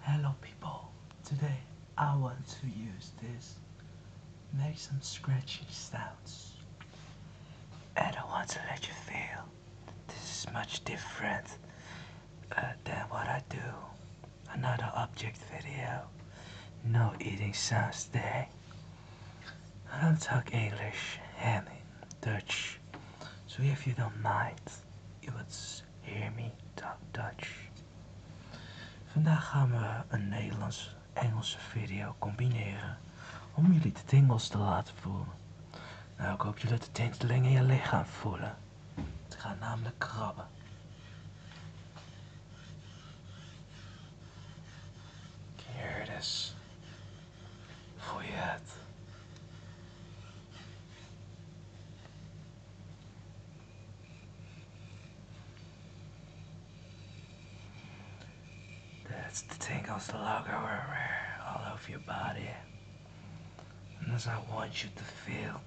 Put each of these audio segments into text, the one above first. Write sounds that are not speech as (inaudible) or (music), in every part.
Hello people, today I want to use this, make some scratchy sounds. And I want to let you feel that this is much different uh, than what I do. Another object video, no eating sounds today. I don't talk English and Dutch, so if you don't mind, it would Hear me, talk Dutch. Vandaag gaan we een Nederlands-Engelse video combineren om jullie de tingels te laten voelen. Nou, ik hoop jullie de tinteling in je lichaam voelen. Het gaat namelijk krabben. Here it is. Voel je het? That's the tingles logo everywhere, all over your body. And that's I want you to feel.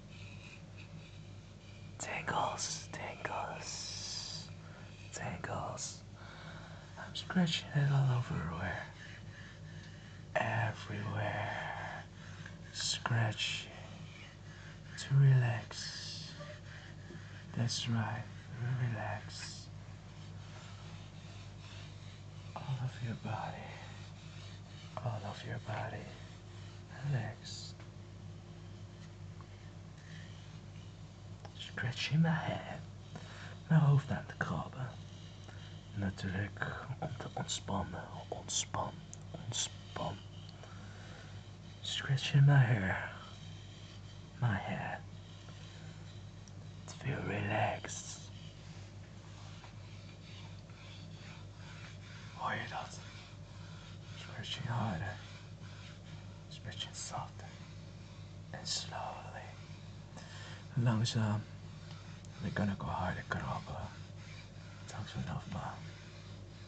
Tingles, tingles, tingles. I'm scratching it all over Everywhere scratch to relax. That's right, relax all of your body, all of your body, relax. Stretching my head, now hold that the carb natuurlijk om te ontspannen, ontspan, ontspan. Stretching my hair, my hair. It feel relaxed. Hoor je dat? Stretching harder, stretching softer, and slowly langzaam. We kunnen ook harder krabbelen. Talk to enough, mom.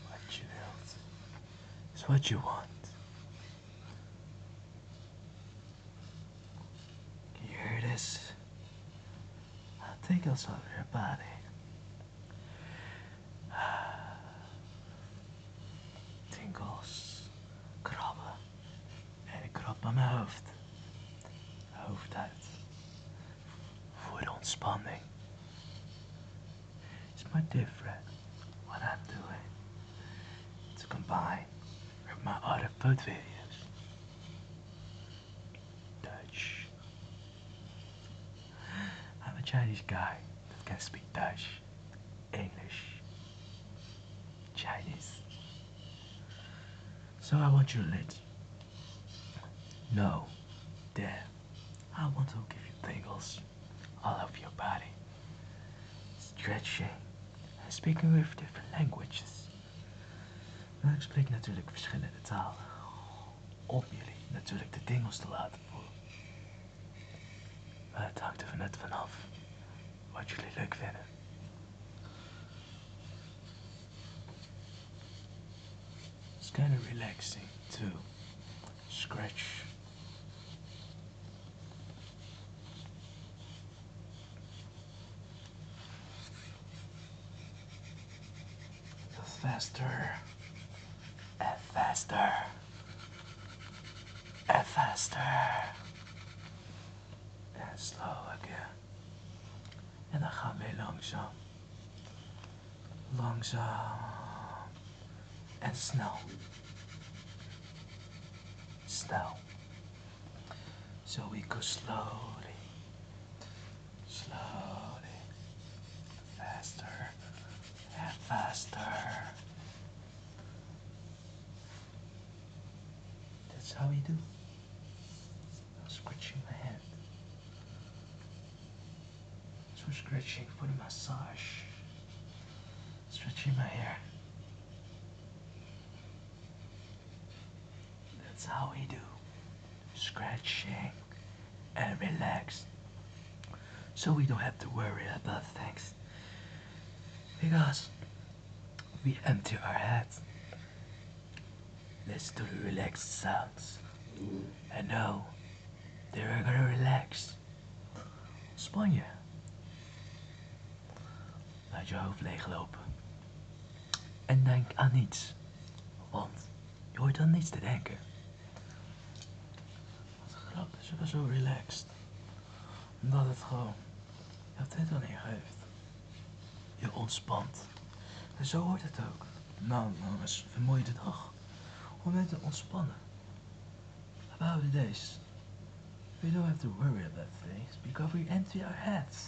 What you wilt. It's what you want. Can you hear this? It tickles over your body. (sighs) Tingles. Krabben. En ik krab aan mijn hoofd. I hope that will Hoofdhuid. Voor ontspanning. It's my different what I'm doing to combine with my other food videos. Dutch. I'm a Chinese guy that can speak Dutch, English, Chinese. So I want you to let No, There. I want to give you tingles all over your body, stretching en speaking with different languages. Maar ik spreek natuurlijk verschillende talen, om jullie natuurlijk de tingels te laten voelen. Maar het hangt er net vanaf wat jullie leuk vinden. It's kind of relaxing to scratch. Faster and faster and faster and slow again and a Hame long jump. Long jump and snow. Snow. So we go slowly, slowly, faster and faster. That's how we do. I'm scratching my head. So scratching for the massage. Stretching my hair. That's how we do. Scratching and relax. So we don't have to worry about things. Because we empty our heads Listen to the relaxed sounds. And now, they're gonna relax. Spanje. Laat je hoofd leeglopen. En denk aan niets. Want je hoort aan niets te denken. Wat grappig is wel zo relaxed. Omdat het gewoon hebt dit aan je heeft, Je ontspant. En zo hoort het ook. Nou jongens, vermoeiende dag. Om net te ontspannen. About days. We don't have to worry about things because we empty our heads.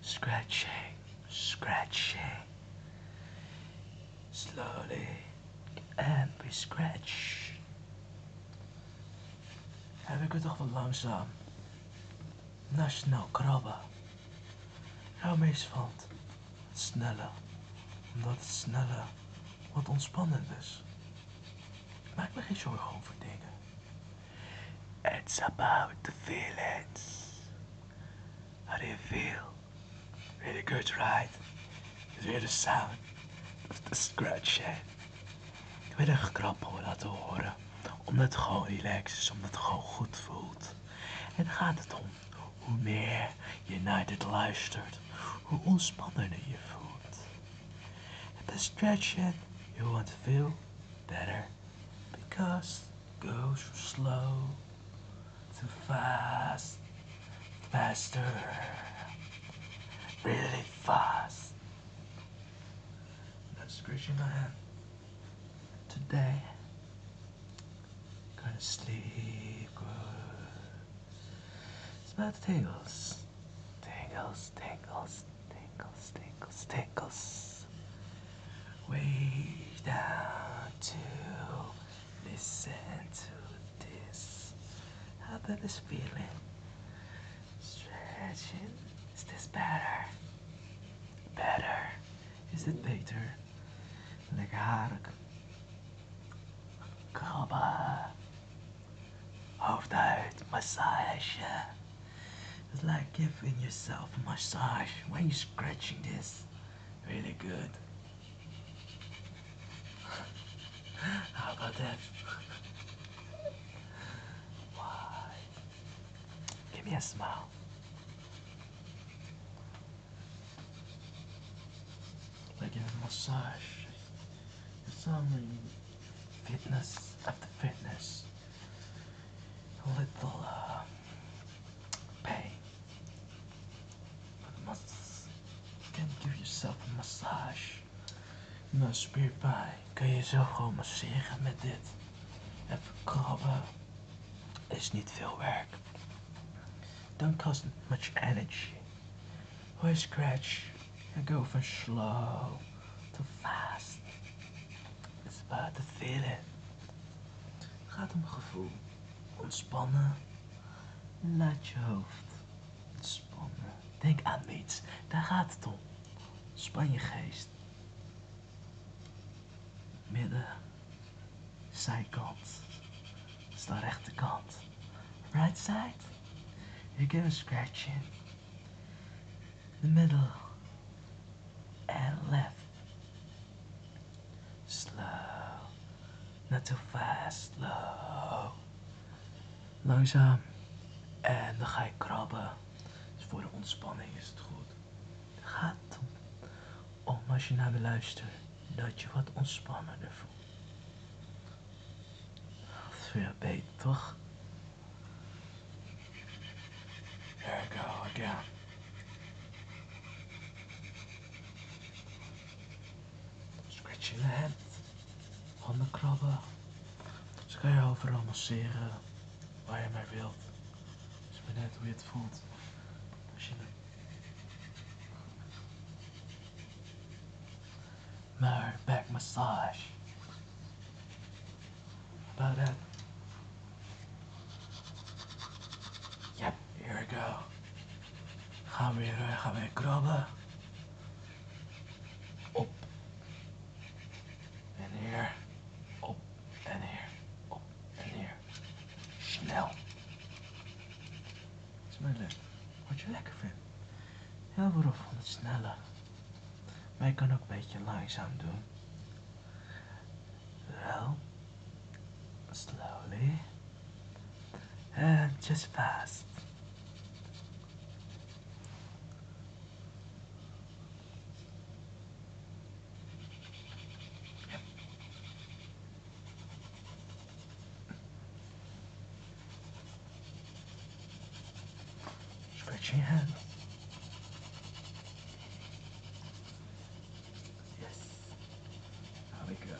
Scratching, scratching. Slowly. And we scratch. Heb ik het toch wel langzaam. snel krabben. Jouw hou valt het sneller, omdat het sneller wat ontspannend is. maak me geen zorgen over dingen. It's about the feelings. How do you feel? Really good, right? It's really the sound of the scratch ik werd een krap hoor dat horen. Omdat het gewoon relaxed is, omdat het gewoon goed voelt. En gaat het om. Hoe meer je naar dit luistert, hoe ontspannender je voelt. En stretching you want to feel better. Because it goes from slow too fast, faster, really fast. That's the greeting I have today. Gonna sleep good. Smell the tingles. Tingles, tingles, tingles, tingles, tingles. Way down to listen to this. How about this feeling? Stretching. Is this better? Better. Is it better? Legar. Kaba. Hoofdhuid massage. It's like giving yourself a massage when you're scratching this. Really good. (laughs) How about that? Why? Give me a smile. Like give a massage. It's only fitness after fitness. A little uh, pain. But must can give yourself a massage. Nou, spierpijn. Kun je zo gewoon masseren met dit. Even krabben. Is niet veel werk. Don't cost much energy. Why scratch and go from slow to fast. It's about the feeling. it. gaat om gevoel. Ontspannen. Laat je hoofd ontspannen. Denk aan iets. Daar gaat het om. geest. Midden. Zijkant. Dat is de rechterkant. Right side. You give scratch in. The middle. And left. Slow. Not too fast. Slow langzaam. En dan ga je krabben. Dus voor de ontspanning is het goed. Het gaat om, als je naar me luistert, dat je wat ontspannender voelt. Dat is weer beter, toch? There we go again. Scratching the handen krabben. Dus kan je overal masseren waar je maar wilt. Het is maar net hoe je het voelt. Als je... Maar back massage. About that. Yep, here we go. Gaan weer, weer krabben. Op en hier. Op en hier. Op en hier. Snel. is mijn leuk. Wat je lekker vindt. Heel veel van het sneller? Maar je kan ook een beetje langzaam doen. Wel. Slowly. And just fast. Stretch your Yes. There we go.